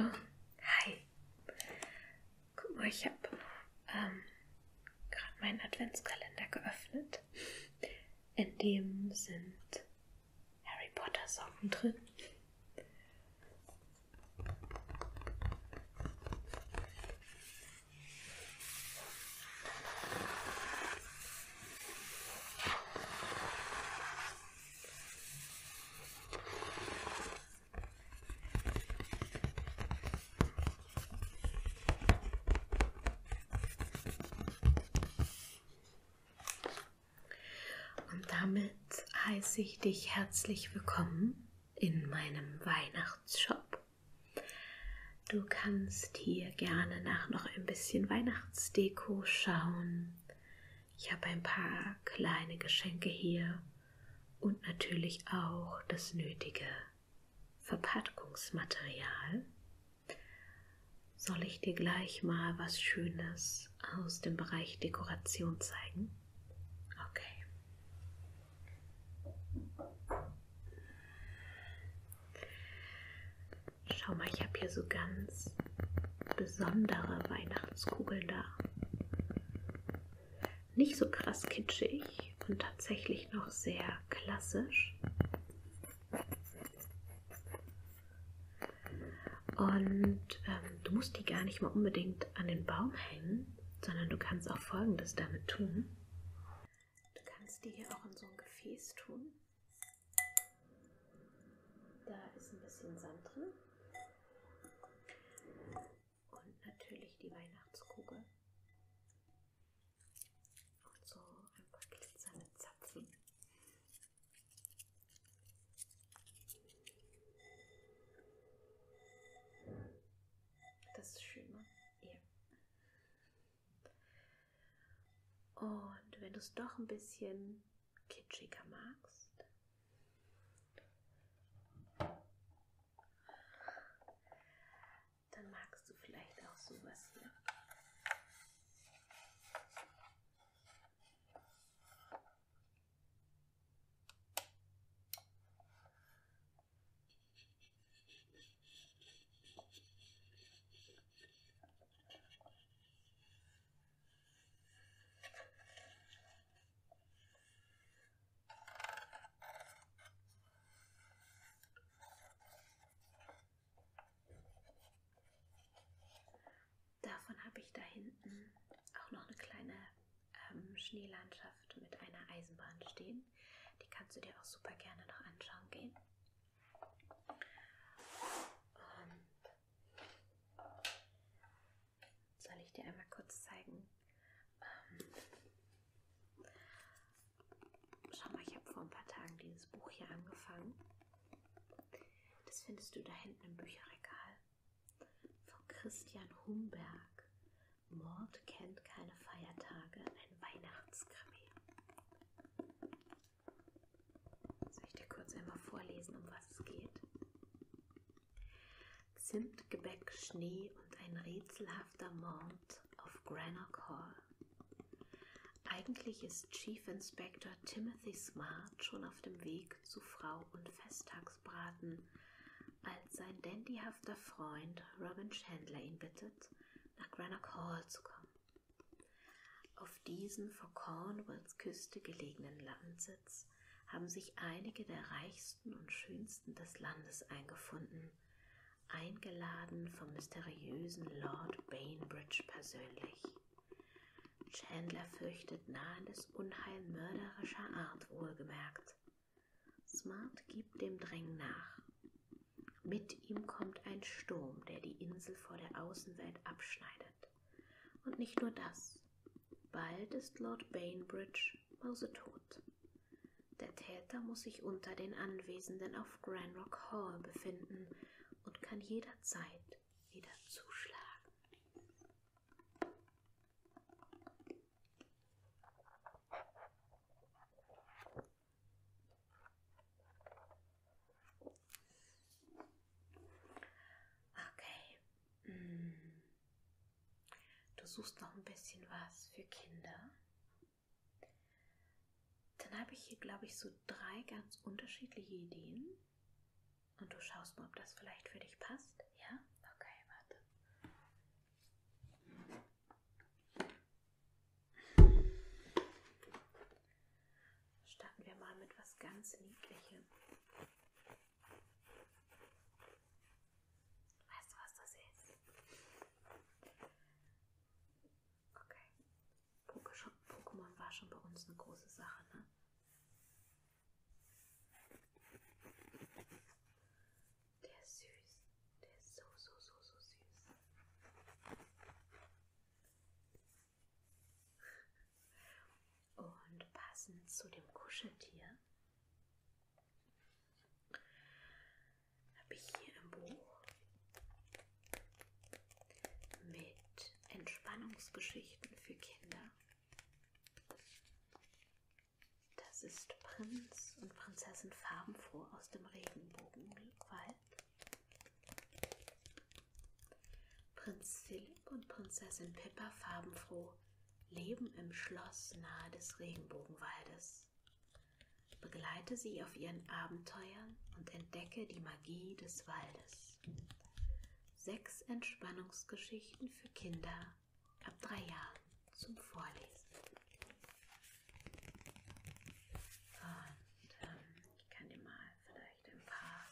Oh, hi. Guck mal, ich habe ähm, gerade meinen Adventskalender geöffnet. In dem sind Harry Potter Socken drin. Und damit heiße ich dich herzlich willkommen in meinem Weihnachtsshop. Du kannst hier gerne nach noch ein bisschen Weihnachtsdeko schauen. Ich habe ein paar kleine Geschenke hier und natürlich auch das nötige Verpackungsmaterial. Soll ich dir gleich mal was Schönes aus dem Bereich Dekoration zeigen? Okay. Schau mal, ich habe hier so ganz besondere Weihnachtskugeln da. Nicht so krass kitschig und tatsächlich noch sehr klassisch. Und ähm, du musst die gar nicht mal unbedingt an den Baum hängen, sondern du kannst auch Folgendes damit tun. Du kannst die hier auch in so ein Gefäß tun. Da ist ein bisschen Sand drin. Und natürlich die Weihnachtskugel. Und so ein paar glitzernde Zapfen. Das ist schön, ne? Ja. Und wenn du es doch ein bisschen kitschiger magst. Dann magst du vielleicht auch sowas hier. Ne? Davon habe ich da hinten auch noch eine kleine ähm, Schneelandschaft mit einer Eisenbahn stehen. Die kannst du dir auch super gerne noch anschauen gehen. Und soll ich dir einmal kurz zeigen? Ähm, schau mal, ich habe vor ein paar Tagen dieses Buch hier angefangen. Das findest du da hinten im Bücherregal. Von Christian Humberg. Mord kennt keine Feiertage, ein Weihnachtskrimi. Soll ich dir kurz einmal vorlesen, um was es geht? Zimt, Gebäck, Schnee und ein rätselhafter Mord auf Granock Hall. Eigentlich ist Chief Inspector Timothy Smart schon auf dem Weg zu Frau und Festtagsbraten, als sein dandyhafter Freund Robin Chandler ihn bittet, nach Granock Hall zu kommen. Auf diesem vor Cornwalls Küste gelegenen Landsitz haben sich einige der reichsten und schönsten des Landes eingefunden, eingeladen vom mysteriösen Lord Bainbridge persönlich. Chandler fürchtet nahendes Unheil mörderischer Art wohlgemerkt. Smart gibt dem Drängen nach. Mit ihm kommt ein Sturm, der die Insel vor der Außenwelt abschneidet. Und nicht nur das. Bald ist Lord Bainbridge mausetot. Der Täter muss sich unter den Anwesenden auf Granrock Hall befinden und kann jederzeit wieder zuschlagen. Okay. Mm. Du suchst noch ein bisschen was für Kinder. Dann habe ich hier, glaube ich, so drei ganz unterschiedliche Ideen. Und du schaust mal, ob das vielleicht für dich passt. Ja? Okay, warte. Starten wir mal mit was ganz Niedlichem. Weißt du, was das ist? Okay. Pokémon war schon bei uns eine große Sache, ne? Der ist süß. Der ist so, so, so, so süß. Und passend zu dem Kuscheltier habe ich hier ein Buch mit Entspannungsgeschichten für Kinder. Das ist Prinz und Prinzessin Farbenfroh aus dem Regenbogenwald. Prinz Philipp und Prinzessin Pippa farbenfroh leben im Schloss nahe des Regenbogenwaldes. Begleite sie auf ihren Abenteuern und entdecke die Magie des Waldes. Sechs Entspannungsgeschichten für Kinder ab drei Jahren zum Vorlesen. Und ähm, ich kann dir mal vielleicht vielleicht ein paar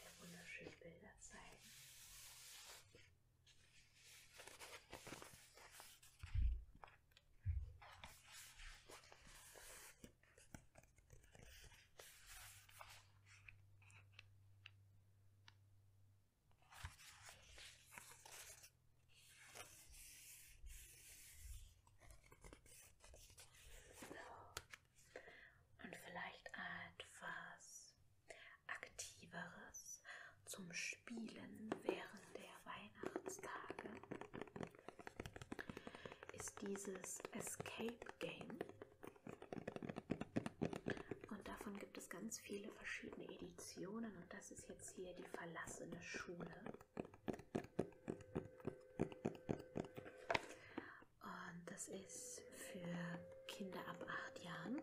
der wunderschönen Bilder zeigen. So, und vielleicht etwas Aktiveres zum Spielen während der Weihnachtstage ist dieses Escape Game. Und davon gibt es ganz viele verschiedene Editionen. Und das ist jetzt hier die verlassene Schule. Und das ist für Kinder ab acht Jahren.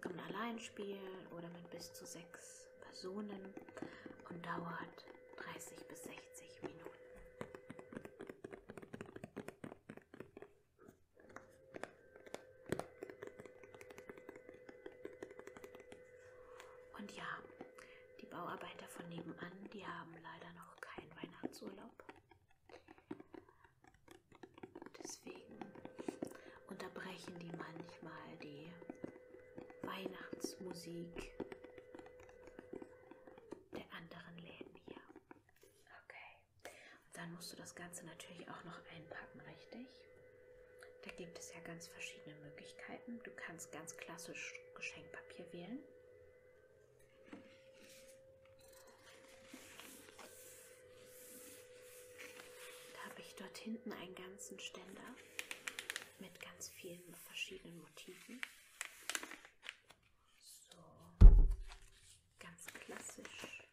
Kann man allein spielen oder mit bis zu sechs Personen und dauert 30 bis 60 Minuten. Und ja, die Bauarbeiter von nebenan, die haben leider noch keinen Weihnachtsurlaub. Deswegen unterbrechen die manchmal die Weihnachtsmusik der anderen Läden hier. Okay. Und dann musst du das Ganze natürlich auch noch einpacken, richtig? Da gibt es ja ganz verschiedene Möglichkeiten. Du kannst ganz klassisch Geschenkpapier wählen. Da habe ich dort hinten einen ganzen Ständer mit ganz vielen verschiedenen Motiven. So, ganz klassisch.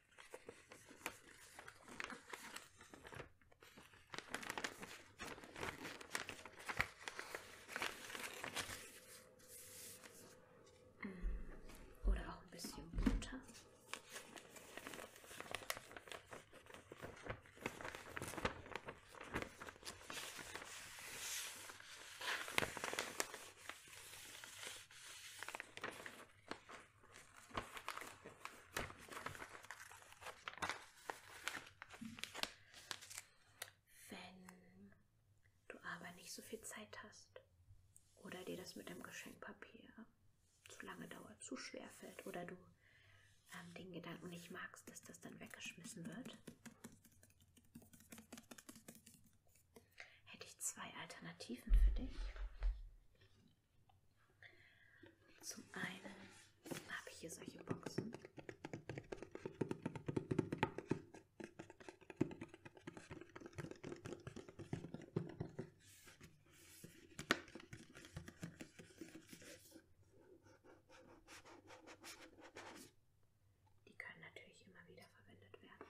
Mm. Oder auch ein bisschen Butter. Wenn du aber nicht so viel Zeit hast oder dir das mit dem Geschenkpapier zu lange dauert, zu schwer fällt oder du ähm, den Gedanken nicht magst, dass das dann weggeschmissen wird, hätte ich zwei Alternativen für dich. Zum einen habe ich hier solche Boxen. Die können natürlich immer wieder verwendet werden.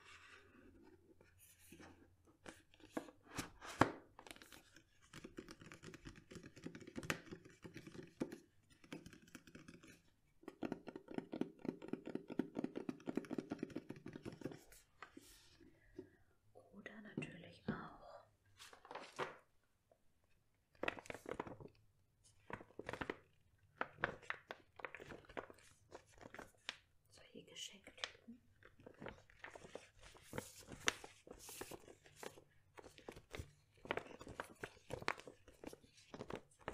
Oder natürlich auch solche Geschenktypen. Da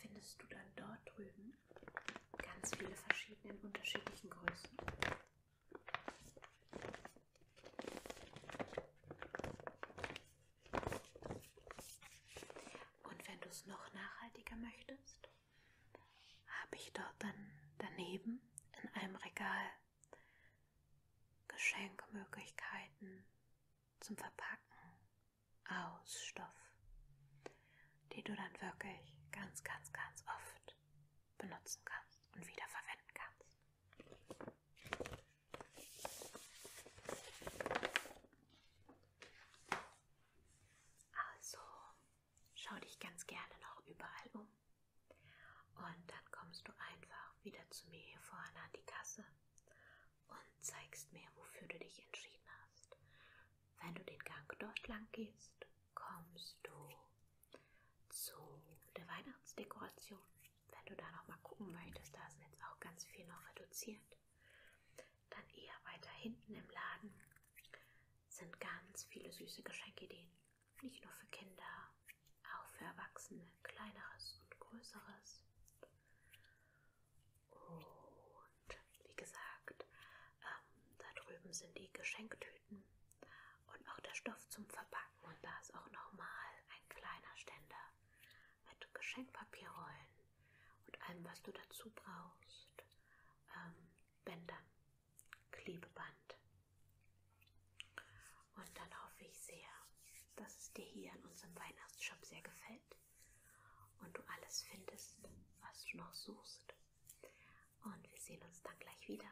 findest du dann dort drüben ganz viele verschiedene in unterschiedlichen Größen. Und wenn du es noch nachhaltiger möchtest, habe ich dort dann daneben in einem Regal Geschenkmöglichkeiten zum Verpacken aus Stoff, die du dann wirklich ganz, ganz, ganz oft benutzen kannst und wieder verwenden kannst. Also schau dich ganz gerne noch überall um und dann kommst du einfach wieder zu mir hier vorne an die Kasse und zeigst mir, wofür du dich entschieden hast. Wenn du den Gang dort lang gehst, kommst du zu der Weihnachtsdekoration. Wenn du da noch mal gucken möchtest, da ist jetzt auch ganz viel noch reduziert. Dann eher weiter hinten im Laden sind ganz viele süße Geschenkideen. Nicht nur für Kinder, auch für Erwachsene, kleineres und größeres. Und wie gesagt, ähm, da drüben sind die Geschenktüten und auch der Stoff zum Verpacken. Und da ist auch nochmal ein kleiner Ständer mit Geschenkpapierrollen und allem, was du dazu brauchst. Ähm, Bändern, Klebeband. Und dann hoffe ich sehr, dass es dir hier in unserem Weihnachtsshop sehr gefällt und du alles findest, was du noch suchst. Und wir sehen uns dann gleich wieder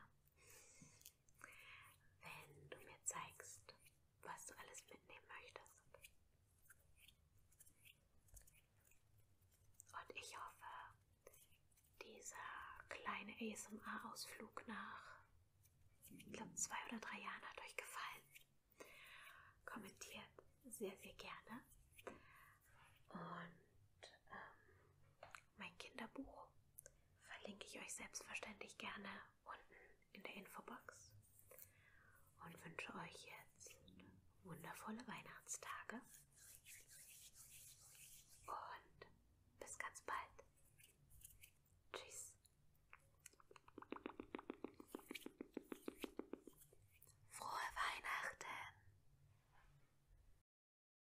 wenn du mir zeigst, was du alles mitnehmen möchtest. Und ich hoffe, dieser kleine ASMR-Ausflug nach, ich glaube, zwei oder drei Jahren hat euch gefallen. Kommentiert sehr, sehr gerne. Und ähm, mein Kinderbuch. Verlinke ich euch selbstverständlich gerne unten in der Infobox. Und wünsche euch jetzt wundervolle Weihnachtstage. Und bis ganz bald. Tschüss. Frohe Weihnachten.